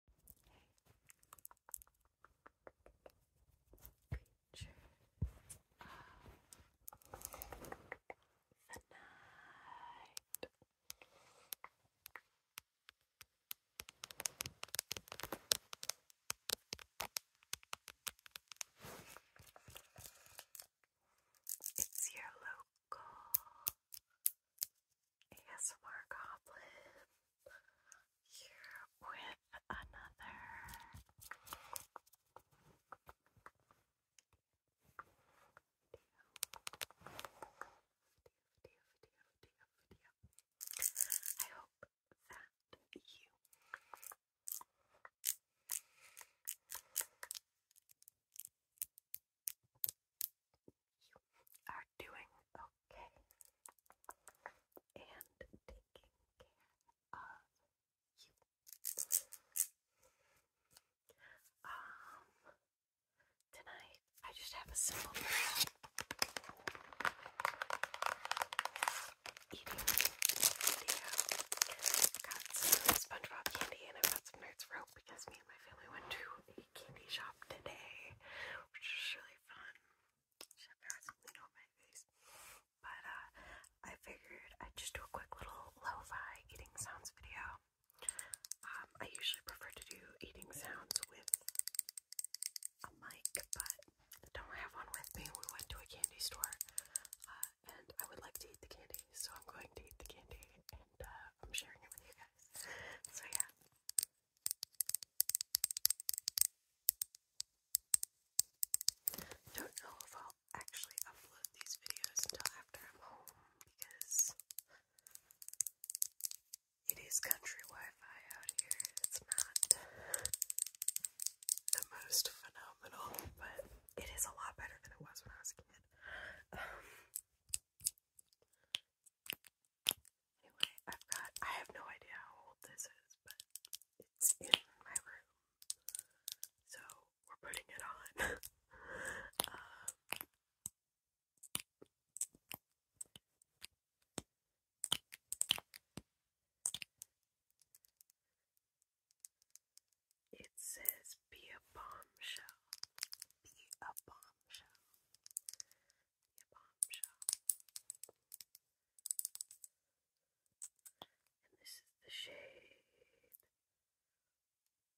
creature of the night. It's your local ASMR Goblin here with another video, video, video, video, video. I hope that you you are doing okay and taking care of you. Um, tonight I just have a simple prayer. Eating yeah. Got some SpongeBob candy and I've some Nerds rope because me and my family went to candy shop today, which was really fun. It's embarrassing lean on my face. But uh, I figured I'd just do a quick little lo eating sounds video. Um, I usually prefer to do eating sounds with a mic, but don't have one with me. We went to a candy store, uh, and I would like to eat the candy, so I'm going to eat the candy, and uh, I'm sharing it with you guys. So yeah, don't know if I'll actually upload these videos until after I'm home because it is country Wi-Fi out here. It's not the most phenomenal, but it is a lot better than it was when I was a kid. Um, Anyway, I've got, I have no idea how old this is, but it's in my room. So we're putting it on. Um, it says be a bombshell. Be a bombshell bombshell. Your And this is the shade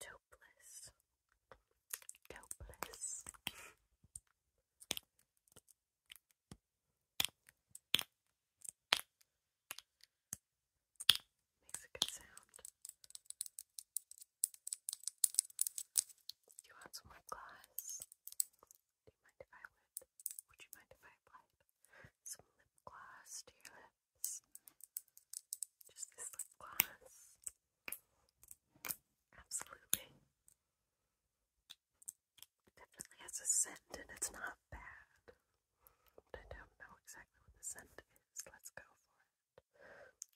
Topless. Topless. Makes a good sound. Do you want some more gloss? Do you mind if I would? Would you mind if I applied some lip gloss to your lips? Just this lip gloss. Absolutely. definitely has a scent and it's not bad. I don't know exactly what the scent is. Let's go for it.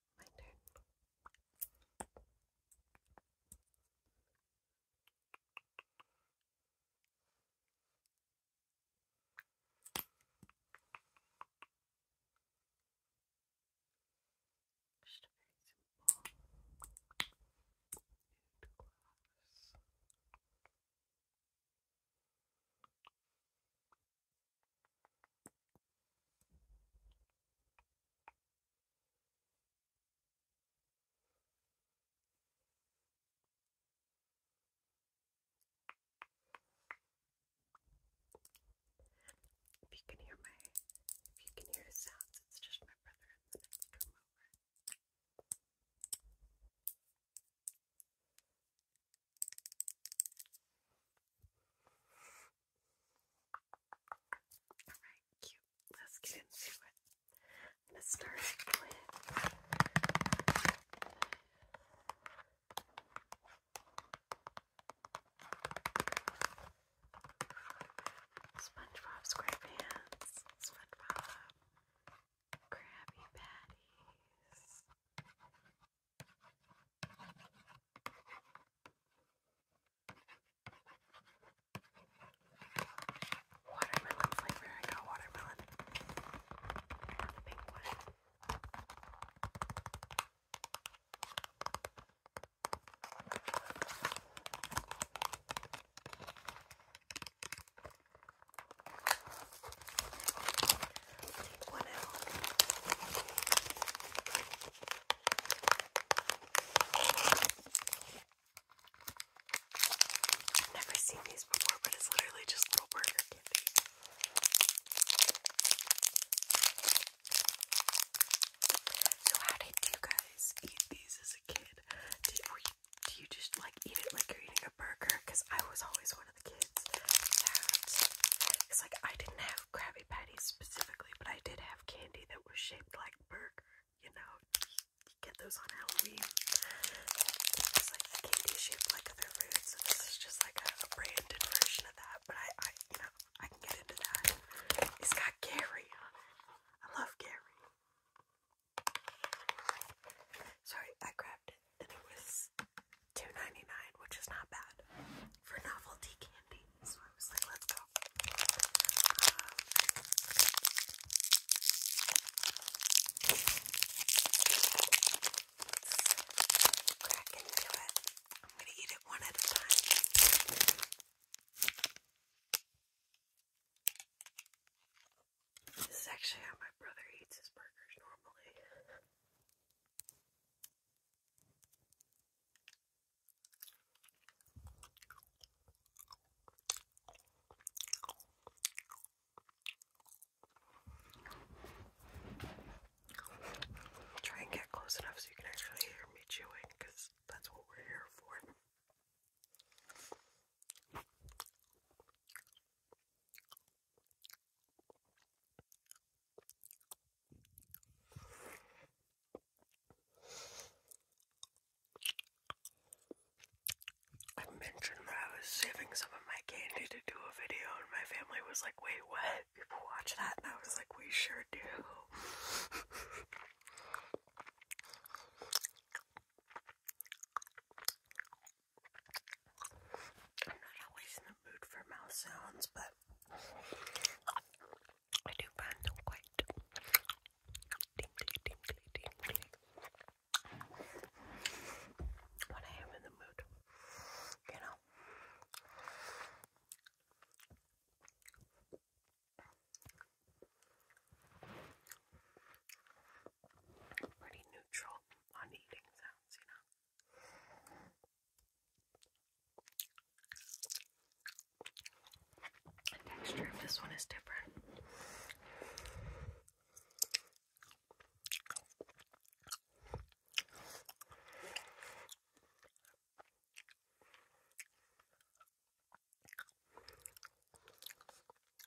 My turn. Just a very simple nude gloss. If you can hear my, if you can hear sounds, it's just my brother in the next room over. Alright, cute. Let's get into it. I'm SpongeBob SquarePants, SpongeBob, Krabby Patties, Watermelon flavor. I got watermelon. Not the pink one. Take one out. I've never seen these before, but it's literally just little burger candy. So how did you guys eat these as a kid? Did were do you just like eat it like you're eating a burger? Because I was always one of the kids that, because like I didn't have Krabby Krabby specifically, but I did have candy that was shaped like burger. You know, get those on Halloween. It's like candy shaped like other foods, this is just like a, branded version of that. But I, you know, I can get into that. It's got Gary on it. I love Gary. Sorry, I grabbed it, and it was two ninety nine, which is not bad for novelty candy. So I was like, let's go. crack um, into it. I'm gonna eat it one at a time. This is actually how my brother eats his burgers normally. Try and get close enough so you can actually hear me chewing, that's what we're here for. I mentioned that I was saving some of my candy to do a video, and my family was like, Wait, what? People watch that? And I was like, We sure do. I'm not always in the mood for mouse sounds, but but I do find them quite when I am in the mood, you know. Pretty neutral on eating sounds, you know. The texture of this one is different.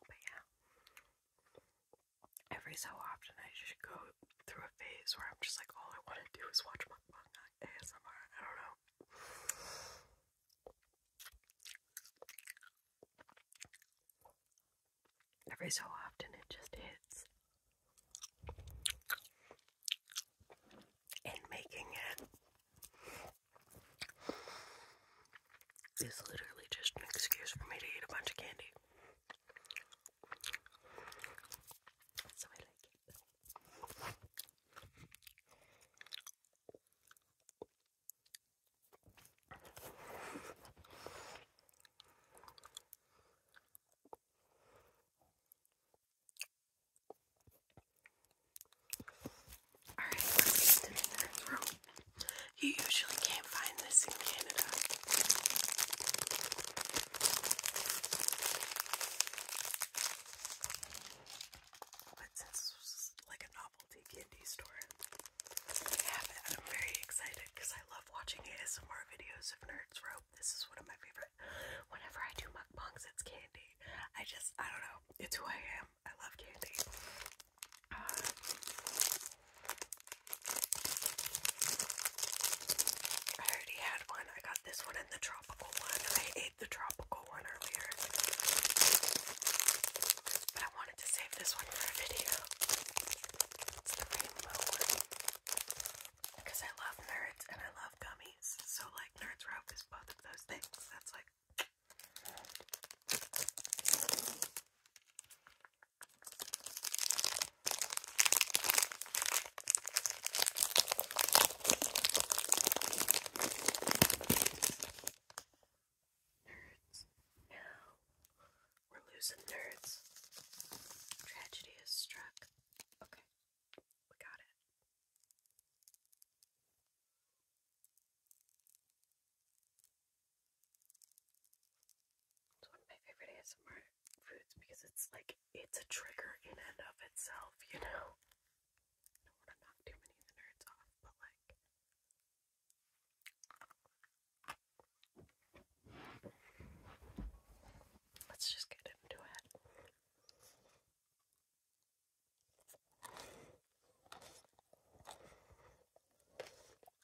But yeah, every so often I just go through a phase where I'm just like, all I want to do is watch mukbang ASMR. I don't know. Every so often it just hits. And making it is literally just an excuse for me to eat a bunch of candy. Alright, let's get the third row. You usually can't find this in Canada this is like a novelty candy store, I have it and I'm very excited because I love watching ASMR videos of Nerds Rope. This is one of my favorite. Whenever I do mukbangs, it's candy. I just, I don't know. It's who I am. I love candy. Uh, I already had one. I got this one and the tropical one. I ate the tropical one earlier. But I wanted to save this one for a video. Because I love nerds and I love gummies. So, like, Nerds Ralph is both of those things. That's like. Nerds. No. We're losing nerds. Tragedy has struck. Okay. We got it. It's one of my favorite ASMR foods because it's like it's a trigger in and of itself, you know. don't want to knock too many of the nerds off, but like let's just get into it.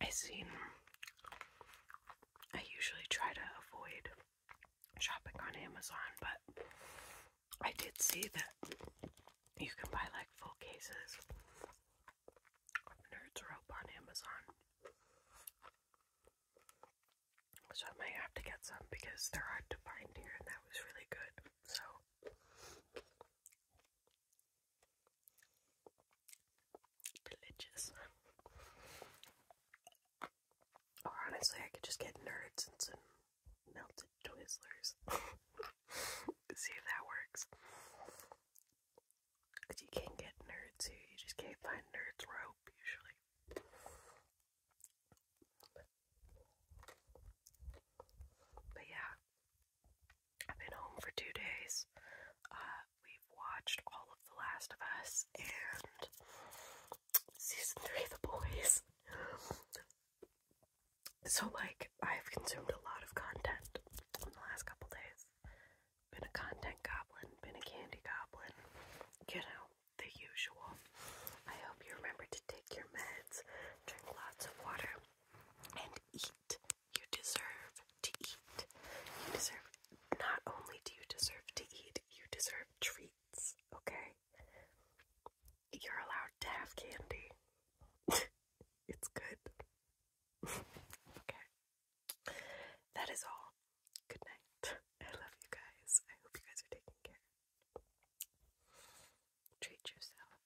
I seen I usually try to avoid shopping on Amazon, but I did see that you can buy like full cases of Nerds Rope on Amazon. So I might have to get some because they're hard to find here and that was really good. So Delicious. Or honestly, I could just get nerds and some melted Twizzlers. See if that works. Because you can't get nerds here, you just can't find nerds rope usually. But yeah, I've been home for two days. Uh, we've watched all of The Last of Us and season three of The Boys. So, like, I've consumed a lot of content in the last couple days. Been a content goblin, been a candy goblin, you know, the usual. I hope you remember to take your meds, drink lots of water, and eat you deserve to eat. You deserve, not only do you deserve to eat, you deserve treats, okay? You're allowed to have candy. it's good. okay. That is all. Good night. I love you guys. I hope you guys are taking care. Treat yourself.